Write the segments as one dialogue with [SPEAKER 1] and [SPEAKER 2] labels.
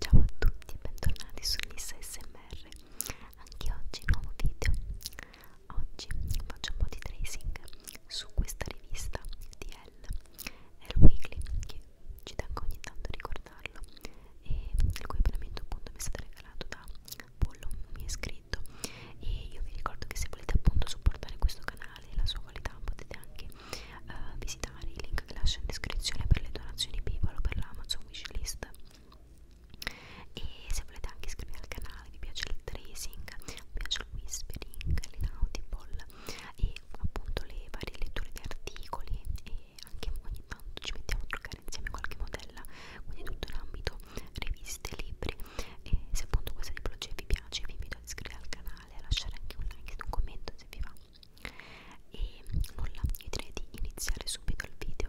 [SPEAKER 1] Ciao a tutti e bentornati su Nissa SMR Anche oggi nuovo video Oggi faccio un po' di tracing su questa rivista di Elle Elle Weekly che ci tengo ogni tanto a ricordarlo e il cui abbonamento appunto mi è stato regalato da Pollo, un mio iscritto e io vi ricordo che se volete appunto supportare questo canale e la sua qualità potete anche uh, eh, visitare i link che lascio in descrizione per le donazioni PayPal o per l'Amazon Wishlist e se volete anche iscrivervi al canale, vi piace il tracing, vi piace il whispering, l'inaudiball e appunto le varie letture di articoli e anche ogni tanto ci mettiamo a truccare insieme qualche modella quindi tutto in ambito riviste, libri e se appunto questa tipologia vi piace vi invito ad iscrivervi al canale a lasciare anche un like e un commento se vi va e nulla, io direi di iniziare subito il video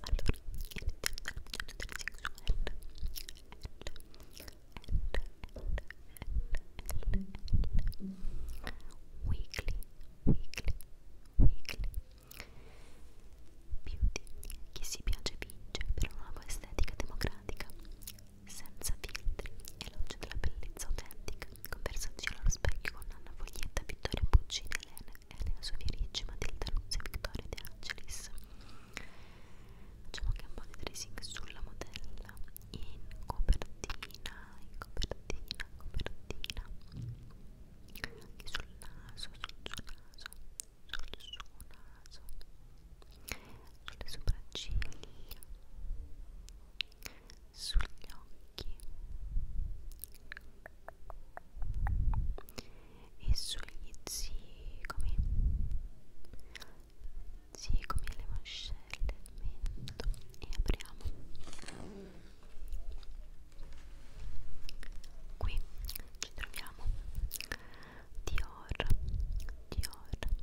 [SPEAKER 1] allora, iniziamo dalla visione del sexual L, L, L, L, L, L weekly, weekly, weekly beauty, chi si piace vince per una nuova estetica democratica senza filtri, elogio della bellezza autentica, conversazione allo specchio con Anna Foglietta, Vittoria Puccini, Elena, Elena Sofierici, Matilda Nuzzi, Vittoria De Angelis. Facciamo anche un po' di tracing sulla modella in copertina, in copertina, copertina, anche sul naso, sul suo naso, sul suo naso, sulle sopracciglia sugli occhi e sugli zigomi zigomi e le mascelle del mento e apriamo qui ci troviamo Dior Dior Dior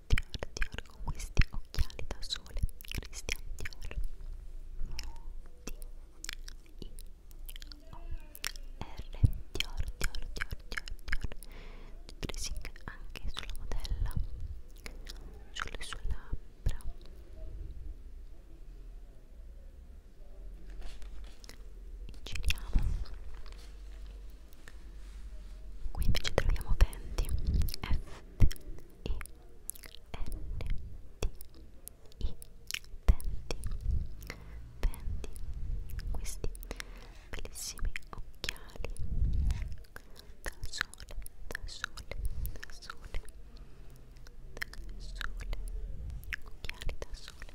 [SPEAKER 1] Dior, Dior, Dior con questi occhiali da sole Christian Dior D-I-O-R Dior, Dior, Dior, Dior, Dior Dressing anche sulla modella sulle sue labbra giriamo qui invece troviamo Fenty F I N T I Fenty Fenty questi bellissimi occhiali da sole da sole da sole da sole occhiali da sole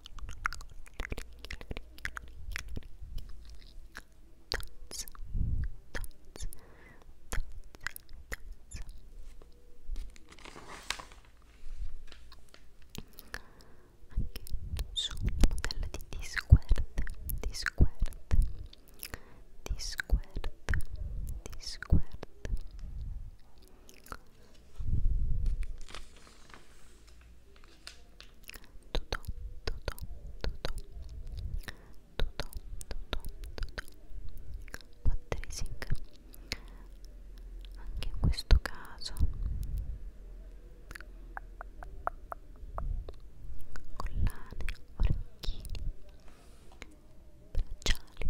[SPEAKER 1] dots, dots, dots, anche su una modella di Discord, Discord, Discord, Discord tutto, tutto, tutto, tutto, tutto, tutto, What tracing anche in questo caso collane, orecchini, bracciali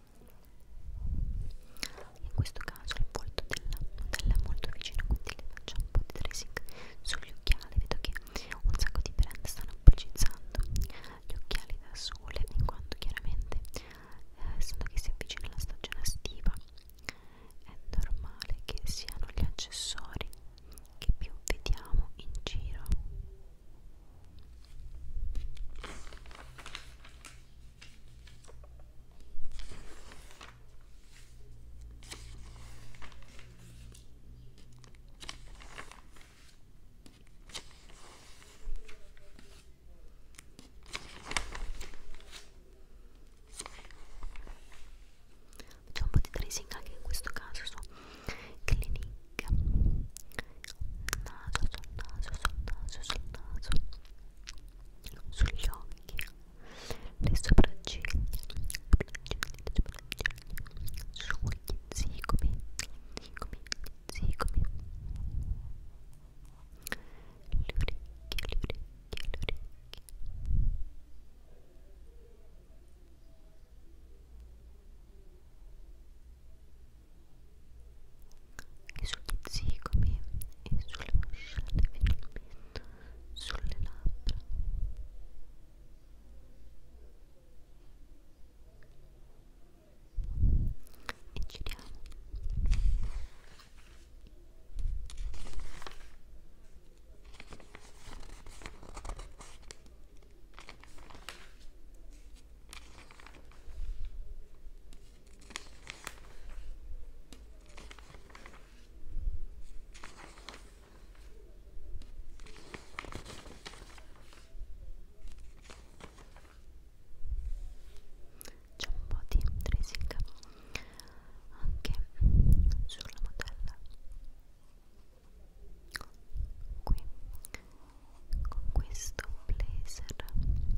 [SPEAKER 1] in questo caso il volto della modella è molto vicino quindi le faccio un po' di tracing sugli occhiali vedo che un sacco di brand stanno pubblicizzando gli occhiali da sole in quanto chiaramente eh, essendo eh, che si avvicina la stagione estiva è normale che siano gli accessori che più vediamo in giro Facciamo un po' di tracing anche in questo caso su Clinique naso, sul naso, sul naso, sul naso sugli occhi, le sopracciglia, sugli zigomi, zigomi, zigomi, le orecchie, le orecchie, le orecchie. Ora e sugli zigomi e sulle mascelle finalmente sulle labbra e giriamo c'è un po' di tracing anche sulla modella qui con questo blazer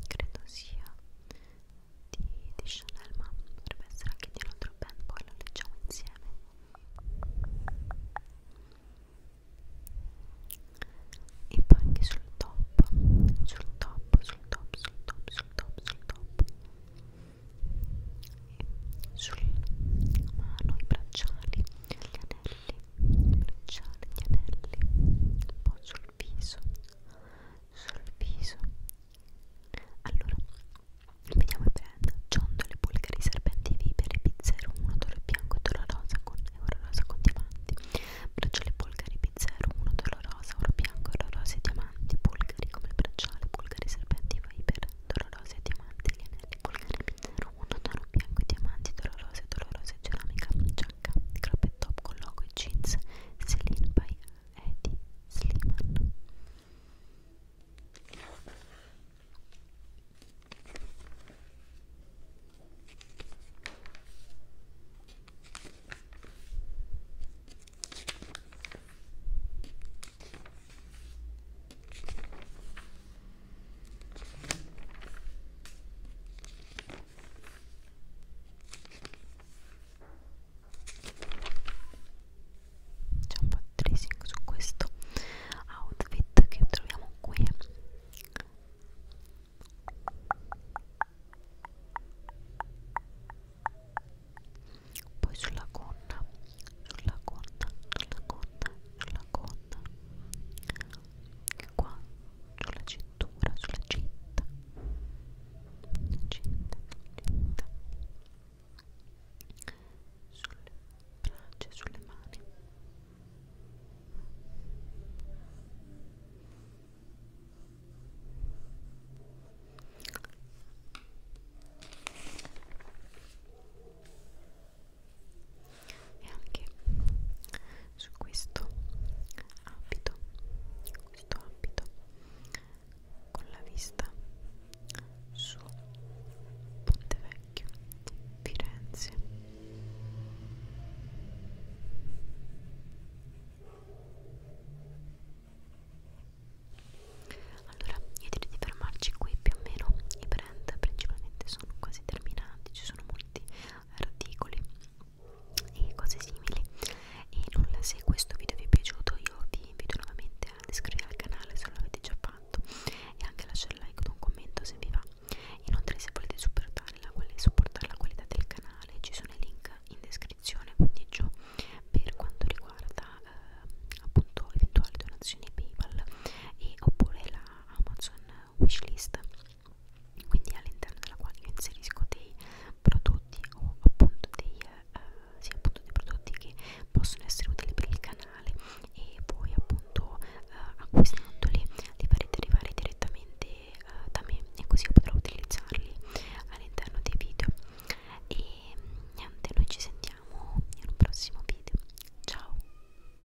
[SPEAKER 1] credo sia di, di Chanel ma potrebbe essere anche di un altro band poi lo leggiamo insieme e poi anche sul top sul top sul top sul top sul top sul top e sul mano i bracciali le anelli, bruciare gli anelli un po' sul viso, sul viso. Allora, vediamo i brand: ciondole, bulgari, serpenti viperi, pizzero, un odore bianco e odore rosa con euro rosa con diamanti. Bracciale bulgari, pizzero, un odore rosa, oro bianco, euro rosa e diamanti. Bulgari come il bracciale, bulgari, serpenti viper, odore rosa e diamanti. Gli anelli bulgari, pizzero, un odore bianco e diamanti, odore rosa, odore rosa e ceramica giacca di crop top con logo e jeans Celine by Eddie Sliman c'è un po' di tracing su questo outfit che troviamo qui poi sulla gonna sulla gonna sulla gonna sulla gonna qua sulla cintura, sulla cinta cinta, cinta sulle braccia, sulle mani e anche su questo abito questo abito con la vista su Pontevecchio Firenze allora io direi di fermarci qui più o meno i brand principalmente sono quasi terminati ci sono molti articoli e cose simili e nulla se questo video vi è piaciuto io vi invito nuovamente ad iscrivervi al canale se non l'avete già fatto e anche a lasciare like o un commento se vi va inoltre se volete supportare la, supportare la qualità del canale ci sono i link in descrizione quindi giù per quanto riguarda eh, appunto eventuali donazioni paypal e oppure la amazon wishlist quindi all'interno della quale io inserisco dei prodotti o appunto dei, eh, sì, appunto dei prodotti che possono essere utili per il canale e poi appunto eh, acquistandoli li farete arrivare direttamente eh, da me e così io potrò utilizzarli all'interno dei video e niente noi ci sentiamo in un prossimo video ciao